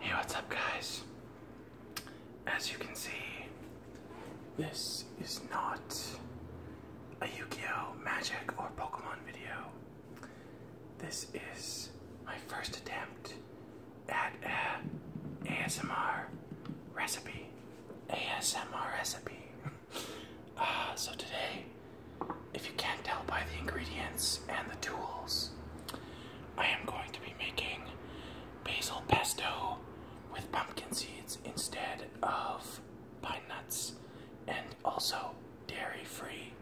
Hey, what's up guys? As you can see, this is not a yu Magic or Pokemon video. This is my first attempt at a ASMR recipe. ASMR recipe. uh, so today, if you can't tell by the ingredients and the tools, I am going to be making basil pesto with pumpkin seeds instead of pine nuts and also dairy free,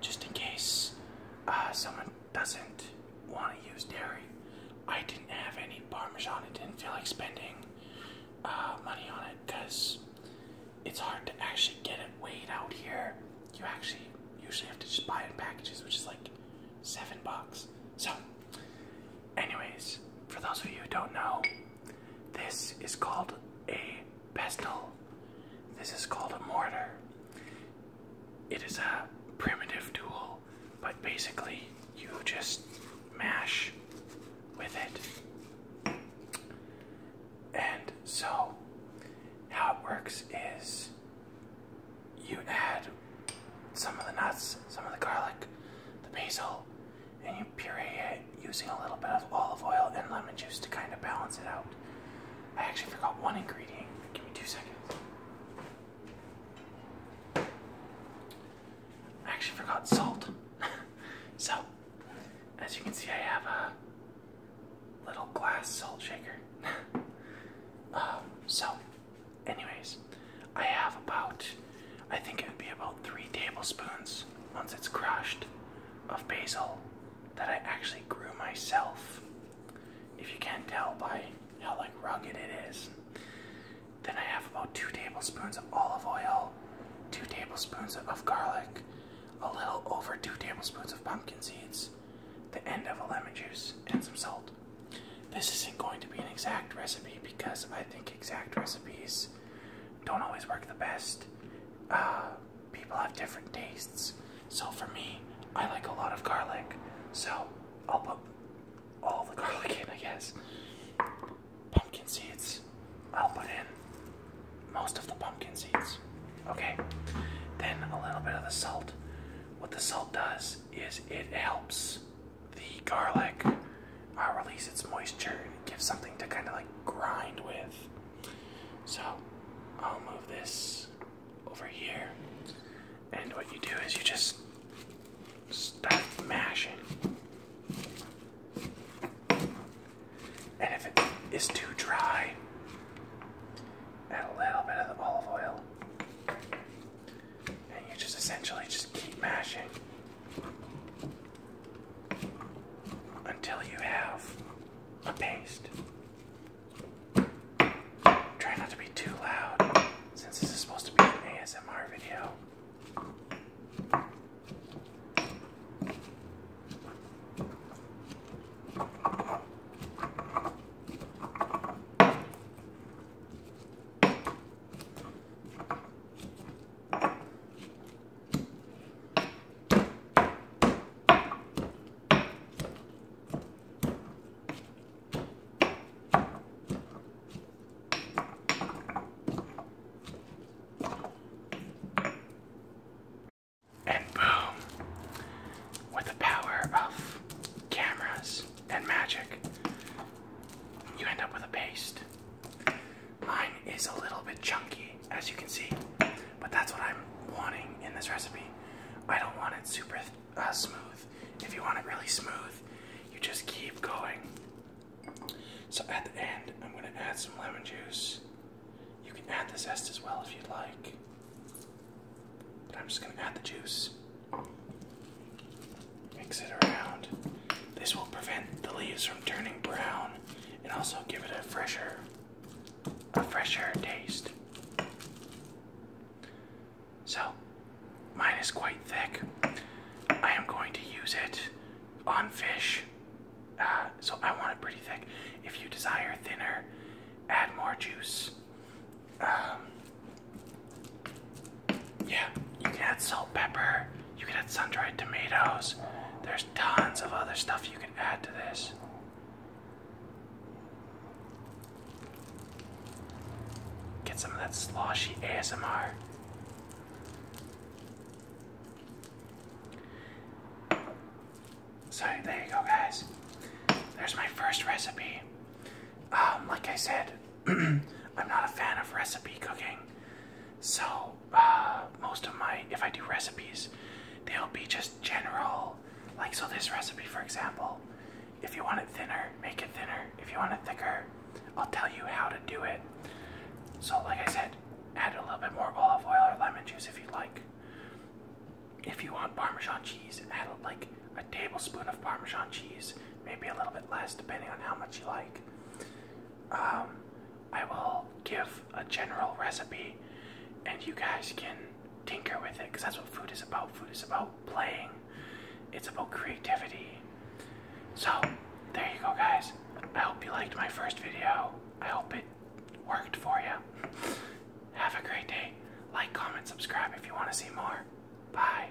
just in case uh, someone doesn't want to use dairy. I didn't have any parmesan, I didn't feel like spending uh, money on it because it's hard to actually get it weighed out here. You actually usually have to just buy it in packages, which is like seven bucks. So, anyways, for those of you who don't know, this is called a pestle. This is called a mortar. It is a primitive tool, but basically you just mash with it. And so, how it works is you add some of the nuts, some of the garlic, the basil, and you puree it using a little bit of olive oil and lemon juice to kind of balance it out. I actually forgot one ingredient. Give me two seconds. I actually forgot salt. so, as you can see, I have a little glass salt shaker. Um, so, anyways, I have about, I think it would be about three tablespoons once it's crushed of basil that I actually grew myself. If you can't tell by how like rugged it is, then I have about two tablespoons of olive oil, two tablespoons of garlic, a little over two tablespoons of pumpkin seeds, the end of a lemon juice, and some salt. This isn't going to be an exact recipe because I think exact recipes don't always work the best. Uh, people have different tastes. So for me, I like a lot of garlic. So I'll put all the garlic in, I guess. Pumpkin seeds. I'll put in most of the pumpkin seeds. Okay. Then a little bit of the salt. What the salt does is it helps the garlic uh, release its moisture and give something to kind of like grind with. So I'll move this over here. And what you do is you just start mashing. And if it is too dry, add a little bit of the olive oil. And you just essentially just keep mashing until you have a paste. Try not to be too loud since this is supposed to be an ASMR video. And boom, with the power of cameras and magic, you end up with a paste. Mine is a little bit chunky as you can see. But that's what I'm wanting in this recipe. I don't want it super uh, smooth. If you want it really smooth, you just keep going. So at the end, I'm going to add some lemon juice. You can add the zest as well if you'd like. But I'm just going to add the juice. Mix it around. This will prevent the leaves from turning brown and also give it a fresher a fresher taste. So, mine is quite thick. I am going to use it on fish. Uh, so, I want it pretty thick. If you desire thinner, add more juice. Um, yeah, you can add salt, pepper, you can add sun-dried tomatoes. There's tons of other stuff you can add to this. Get some of that sloshy ASMR. So there you go, guys. There's my first recipe. Um, like I said, I'm not a fan of recipe cooking, so most of my, if I do recipes, they'll be just general. Like so, this recipe, for example, if you want it thinner, make it thinner. If you want it thicker, I'll tell you how to do it. So, like I said, add a little bit more olive oil or lemon juice if you like. If you want Parmesan cheese, add like a tablespoon of Parmesan cheese, maybe a little bit less, depending on how much you like um, I will give a general recipe and you guys can tinker with it because that's what food is about. Food is about playing, it's about creativity. So, there you go, guys. I hope you liked my first video. I hope it worked for you. Have a great day. Like, comment, subscribe if you want to see more. Bye.